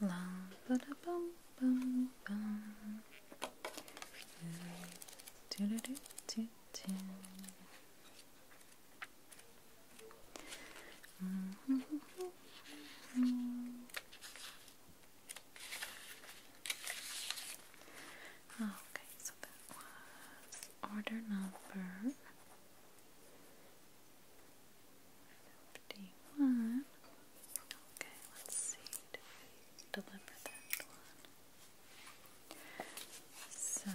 Okay, so that was order number 51. Okay, let's see. deliver that one? So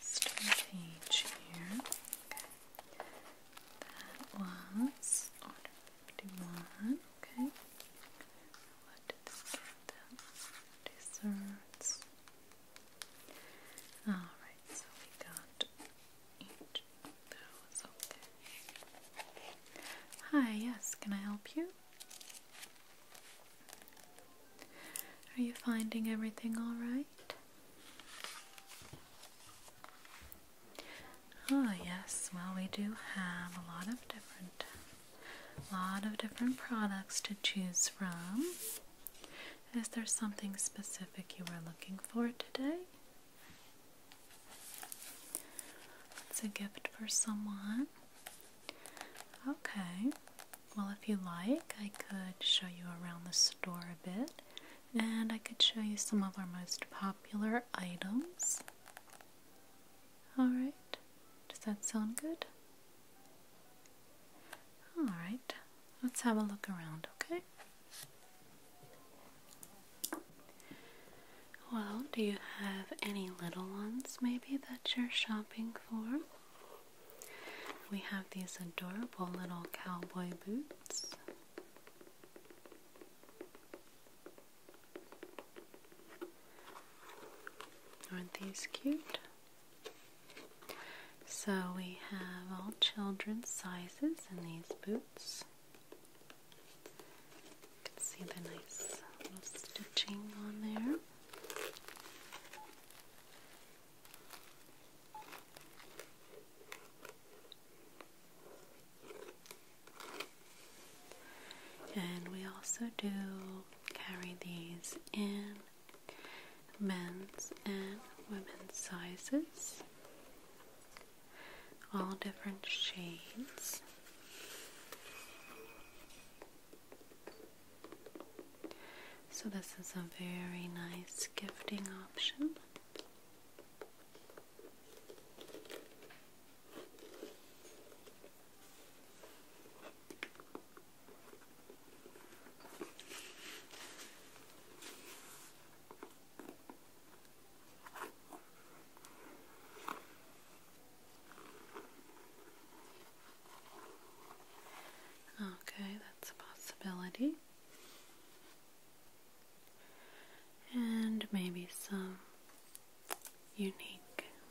Stone page here. Okay. That was order fifty one. Okay. What did we get? Desserts. All right. So we got each of those. Okay. Hi, yes, can I help you? Are you finding everything all right? Oh yes, well, we do have a lot of different lot of different products to choose from. Is there something specific you were looking for today? It's a gift for someone. Okay. Well, if you like, I could show you around the store a bit and I could show you some of our most popular items. Alright, does that sound good? Alright, let's have a look around, okay? Well, do you have any little ones maybe that you're shopping for? We have these adorable little cowboy boots. Aren't these cute? So we have all children's sizes in these boots see the nice stitching on there. And we also do carry these in men's and women's sizes all different shades. So, this is a very nice gifting option. Okay, that's a possibility. And maybe some unique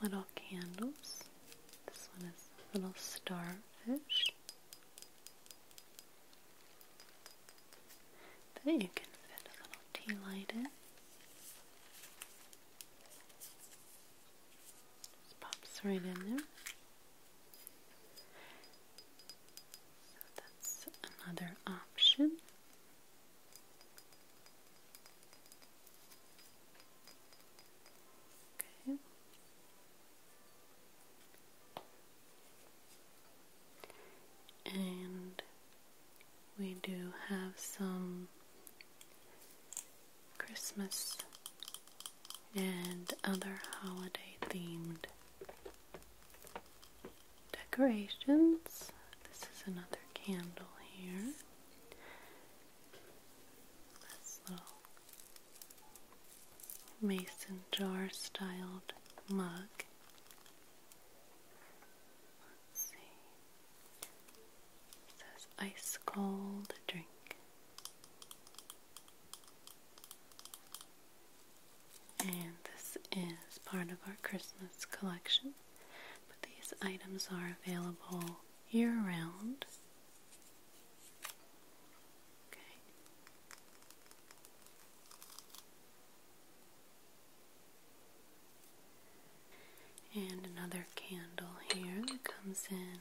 little candles. This one is little starfish that you can fit a little tea light in. Just pops right in there. So that's another option. Okay. And we do have some Christmas and other holiday themed decorations. This is another candle here. This little mason jar styled mug says ice cold drink. And this is part of our Christmas collection. But these items are available year round. Okay. And another candle here that comes in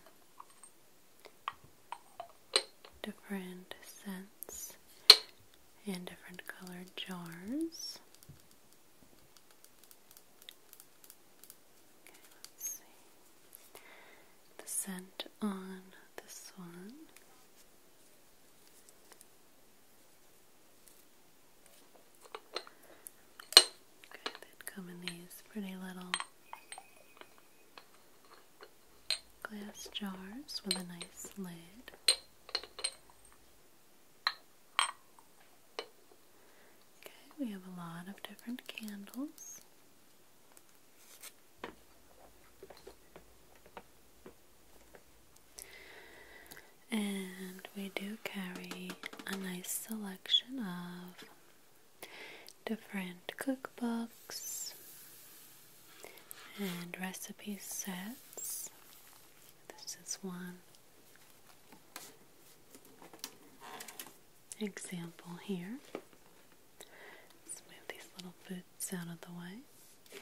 different scents and different colored jars. Okay, let's see. The scent on this one Okay, come in these pretty little glass jars with a nice lid. Okay, we have a lot of different candles. And we do carry a nice selection of different cookbooks and recipe sets. This is one example here. Let's move these little boots out of the way.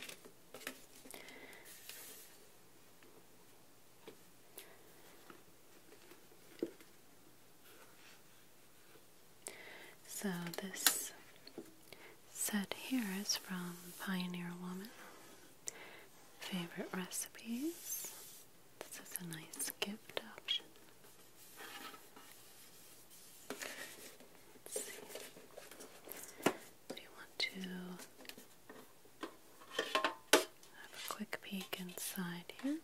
So this set here is from Pioneer Woman. Favorite recipes. This is a nice gift option. Do you want to have a quick peek inside here.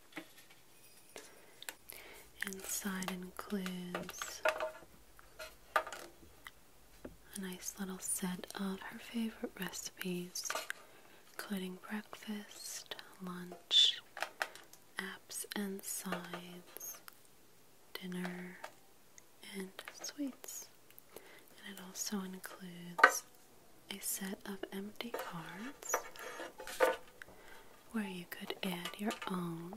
Inside includes a nice little set of her favorite recipes, including breakfast, lunch, apps and sides, dinner, and sweets. And it also includes a set of empty cards where you could add your own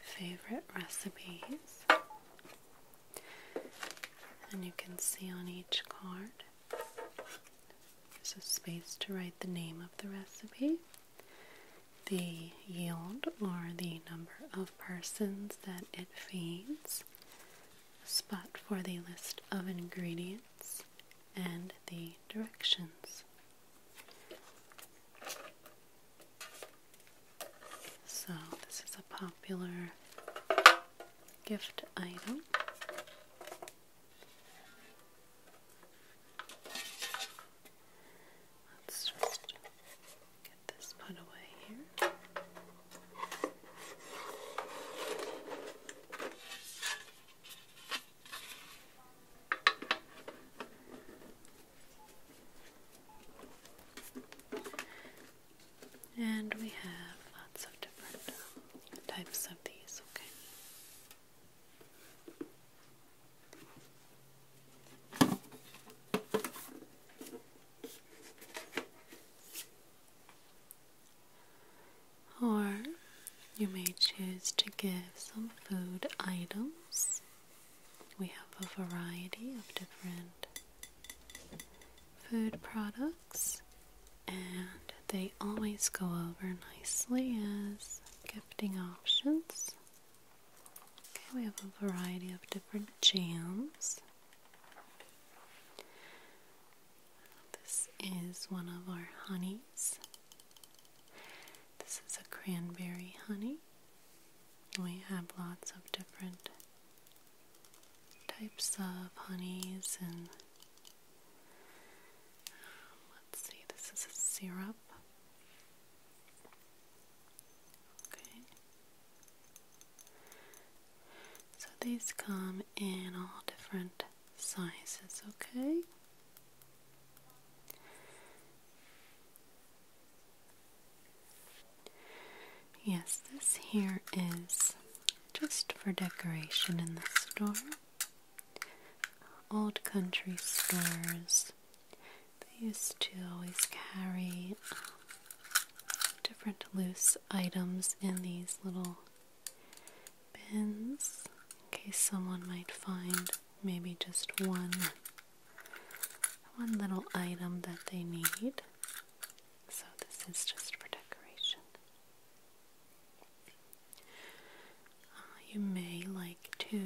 favorite recipes. And you can see on each card there's a space to write the name of the recipe the yield or the number of persons that it feeds, spot for the list of ingredients, and the directions. So, this is a popular gift item. Let's just get this put away here. And we have lots of different types of these, okay? Or you may choose to give some food items. We have a variety of different food products, and they always go over nicely as gifting options. Okay, we have a variety of different jams. This is one of our honeys. This is a cranberry honey. We have lots of different types of honeys and um, let's see, this is a syrup. Okay. So these come in all different sizes, okay? Yes, this here is just for decoration in the store. Old country stores they used to always carry different loose items in these little bins in case someone might find maybe just one one little item that they need. So this is just for decoration. Uh, you may like to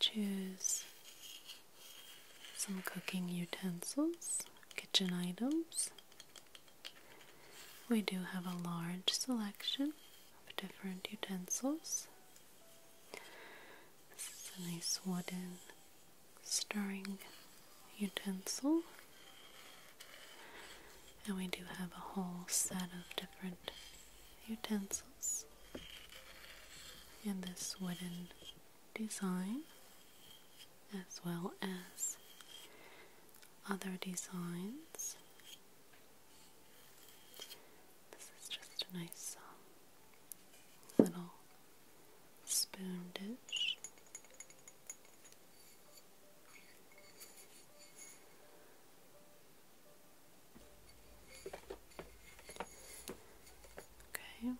choose some cooking utensils, kitchen items. We do have a large selection of different utensils. This is a nice wooden stirring utensil. And we do have a whole set of different utensils and this wooden design as well as other designs. This is just a nice um, little spoon dish. Okay.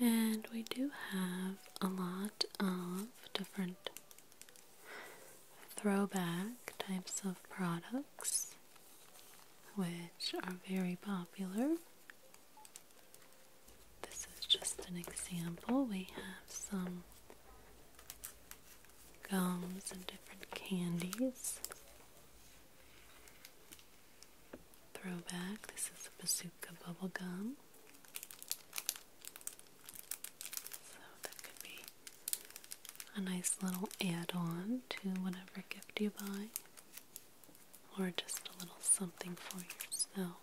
And we do have a lot of different throwback types of products which are very popular this is just an example. We have some gums and different candies. Throwback. This is a bazooka bubble gum. So that could be a nice little add-on to whatever gift you buy, or just a little something for yourself.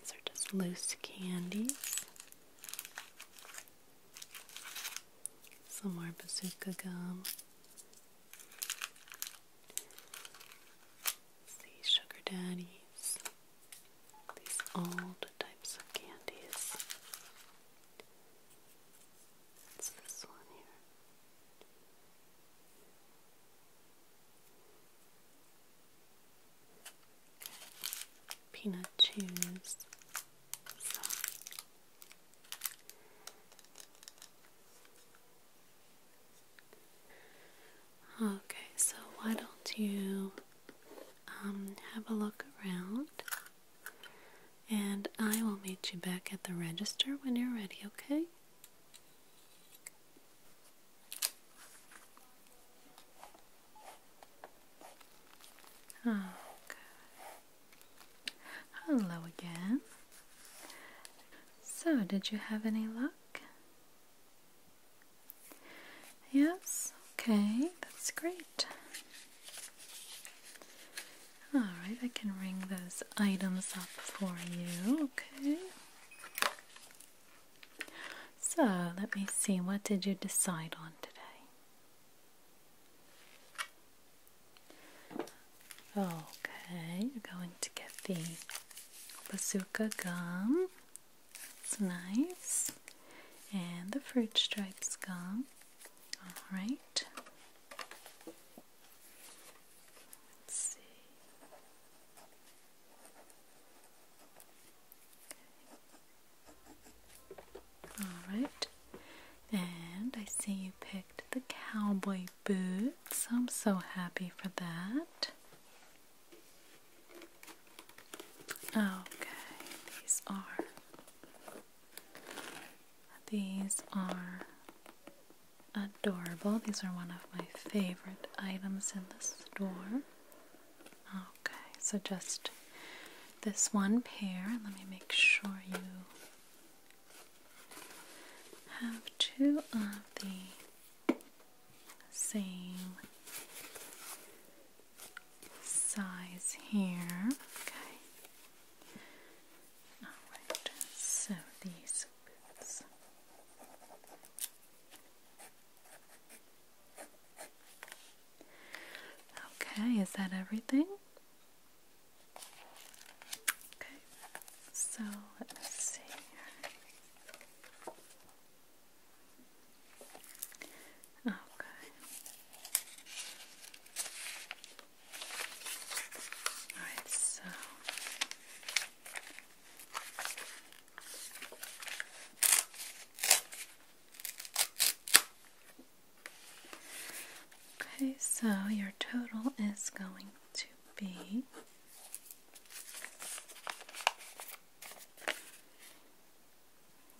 These are just loose candies. Some more bazooka gum. These sugar daddies. These old types of candies. It's this one here. Peanut chews. Okay, so why don't you um, have a look around and I will meet you back at the register when you're ready, okay? Oh, Hello again. So, did you have any luck? Yes? Okay, that's great. Alright, I can ring those items up for you, okay? So let me see, what did you decide on today? Okay, you're going to get the bazooka gum. It's nice. And the fruit stripes gum. Alright. Alright, and I see you picked the cowboy boots. I'm so happy for that. Okay, these are. These are adorable. These are one of my favorite items in the store. Okay, so just this one pair. Let me make sure you have two of the same size here. Okay. Alright, so these boots. Okay, is that everything? Okay, so let me see here. Okay. Okay, so your total is going to be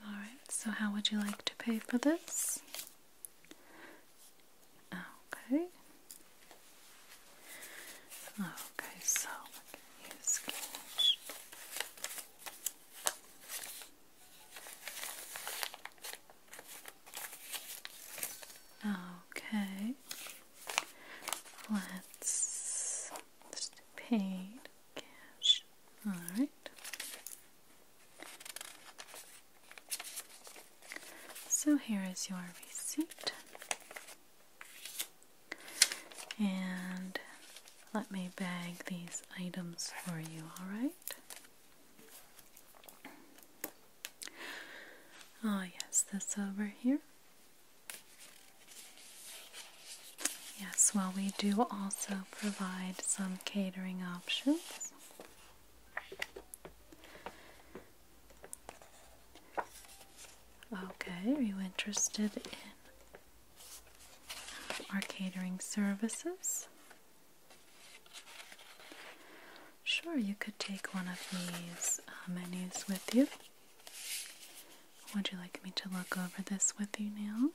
Alright, so how would you like to pay for this? Okay. Okay, so Okay. Let's just paid All right. So here is your receipt. And let me bag these items for you, alright? Oh, yes, this over here. Yes, well, we do also provide some catering options. Okay, are you interested in our catering services? Sure, you could take one of these uh, menus with you. Would you like me to look over this with you now?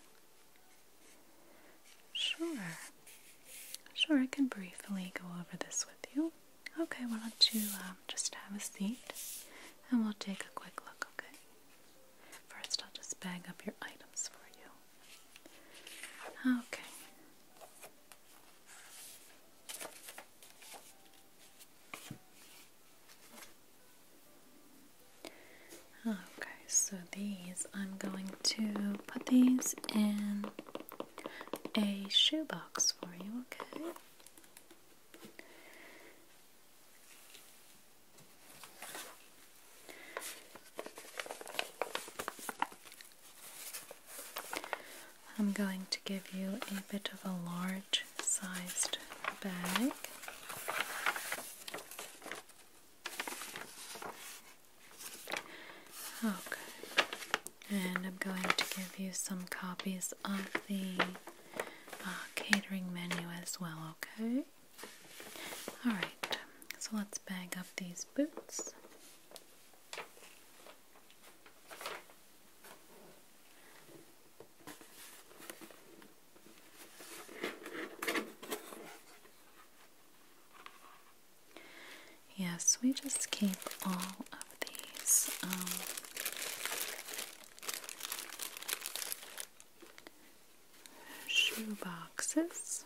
Sure. Sure, I can briefly go over this with you. Okay, why don't you um, just have a seat and we'll take a quick look, okay? First, I'll just bag up your items for you. Okay. Okay, so these, I'm going to put these in a shoebox for you, okay? I'm going to give you a bit of a large sized bag. Okay, and I'm going to give you some copies of the uh, catering menu as well, okay? Alright, so let's bag up these boots. Yes, we just keep all of these. Um, shoe boxes.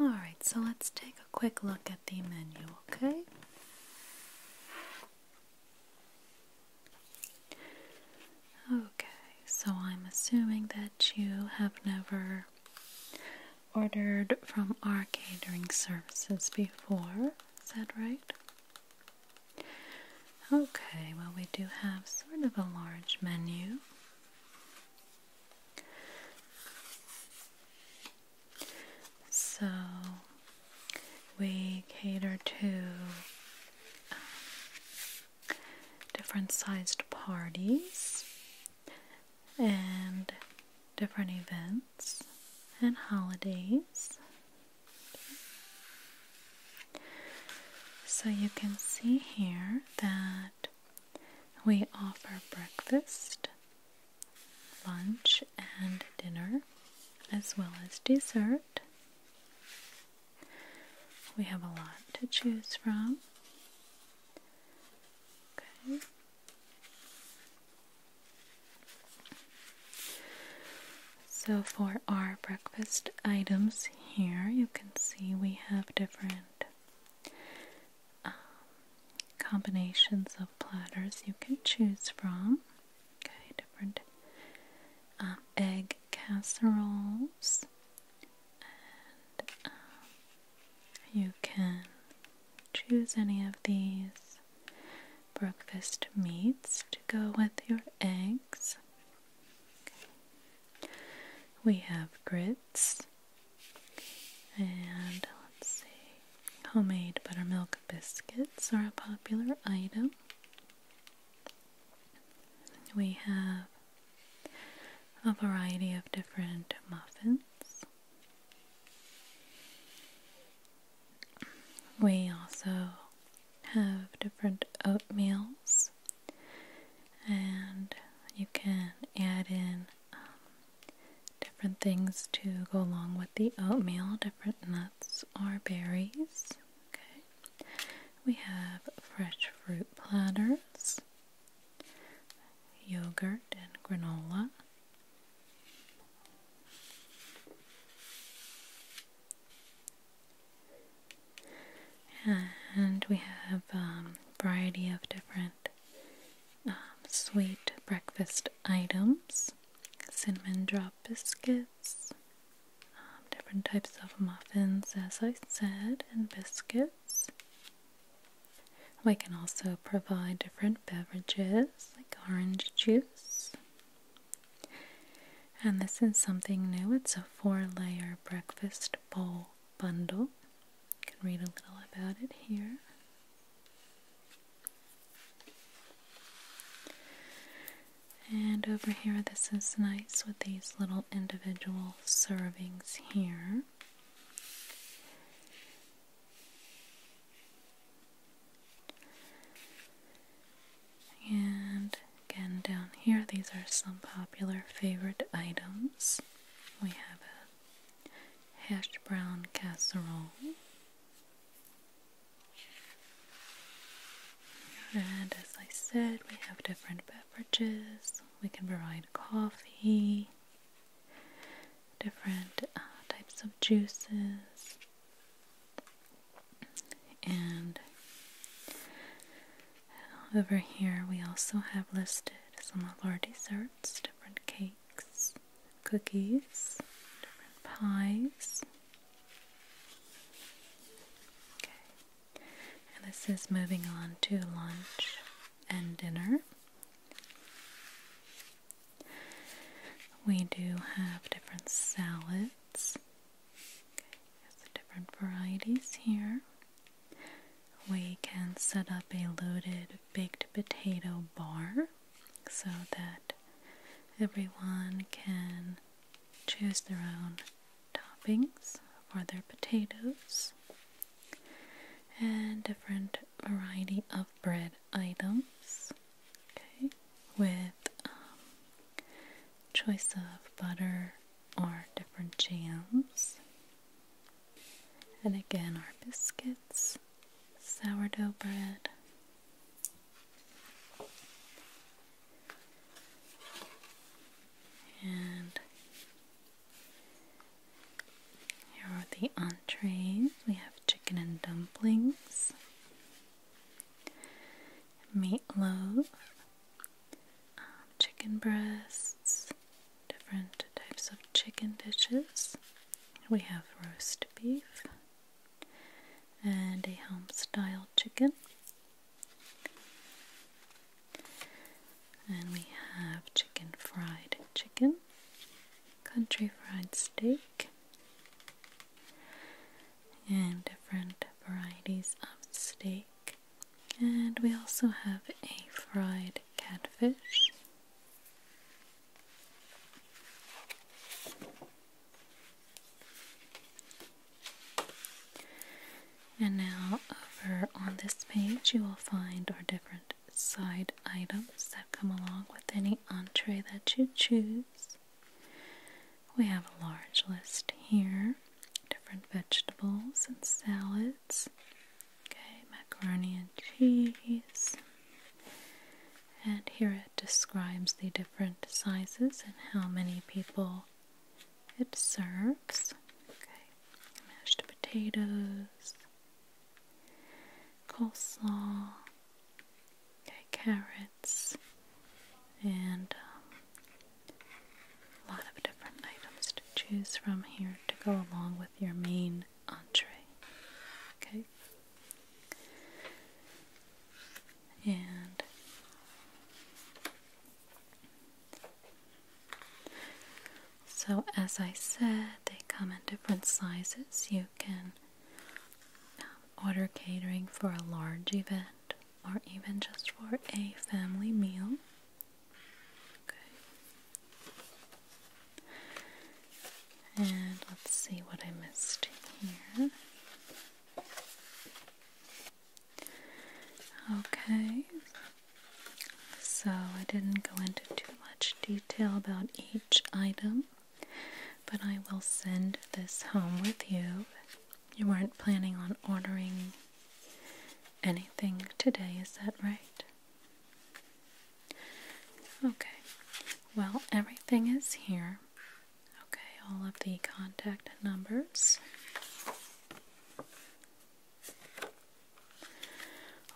Alright, so let's take a quick look at the menu, okay? Okay, so I'm assuming that you have never ordered from our catering services before, is that right? Okay, well, we do have sort of a large menu. So we cater to um, different sized parties and different events and holidays. So you can see here that we offer breakfast, lunch, and dinner, as well as dessert. We have a lot to choose from. Okay. So, for our breakfast items here, you can see we have different combinations of platters you can choose from. Okay, different um, egg casseroles, um, you can choose any of these breakfast meats to go with your eggs. We have grits and let's see, homemade buttermilk biscuits are a popular item. We have a variety of different muffins. We also have different oatmeals, and you can add in um, different things to go along with the oatmeal, different nuts or berries. Okay. We have fresh fruit platters, yogurt and granola. And we have a um, variety of different um, sweet breakfast items cinnamon drop biscuits, um, different types of muffins, as I said, and biscuits. We can also provide different beverages like orange juice. And this is something new. It's a four layer breakfast bowl bundle. You can read a little about it here. And over here, this is nice with these little individual servings here. And again, down here, these are some popular favorite items. We have a hash brown casserole, and as I said, we have different beverages. We can provide coffee, different uh, types of juices, and over here we also have listed some of our desserts, different cakes, cookies, different pies. Okay, and this is moving on to lunch and dinner. We do have different salads. Okay, different varieties here. We can set up a loaded baked potato bar so that everyone can choose their own toppings for their potatoes and different variety of bread items with um, choice of butter or different jams and again, our biscuits, sourdough bread. And here are the entrees. We have chicken and dumplings, meatloaf, um, chicken breasts, different types of chicken dishes. We have roast beef and a home style chicken. And we have chicken fried chicken, country fried steak, and different varieties of steak. And we also have a fried catfish. And now, over on this page, you will find our different side items that come along with any entree that you choose. We have a large list here different vegetables and salads, Okay, macaroni and cheese. And here it describes the different sizes and how many people it serves. Okay, mashed potatoes, coleslaw, okay, carrots, and um, a lot of different items to choose from here to go along with your main entree. Okay? And so, as I said, they come in different sizes. You can um, order catering for a large event or even just for a family meal. Okay. And let's see what I missed here. Okay. So I didn't go into too much detail about each item, but I will send this home with you. You weren't planning on ordering anything today, is that right? Okay, well, everything is here. Okay, all of the contact numbers,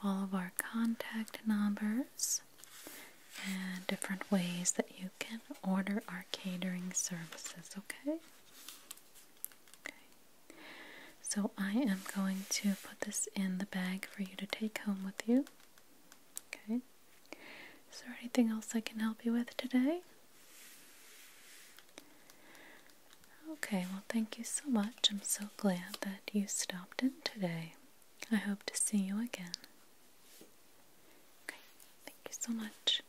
all of our contact numbers, and different ways that you can order our catering services. Okay. So I am going to put this in the bag for you to take home with you. Okay. Is there anything else I can help you with today? Okay, well, thank you so much. I'm so glad that you stopped in today. I hope to see you again. Okay, thank you so much.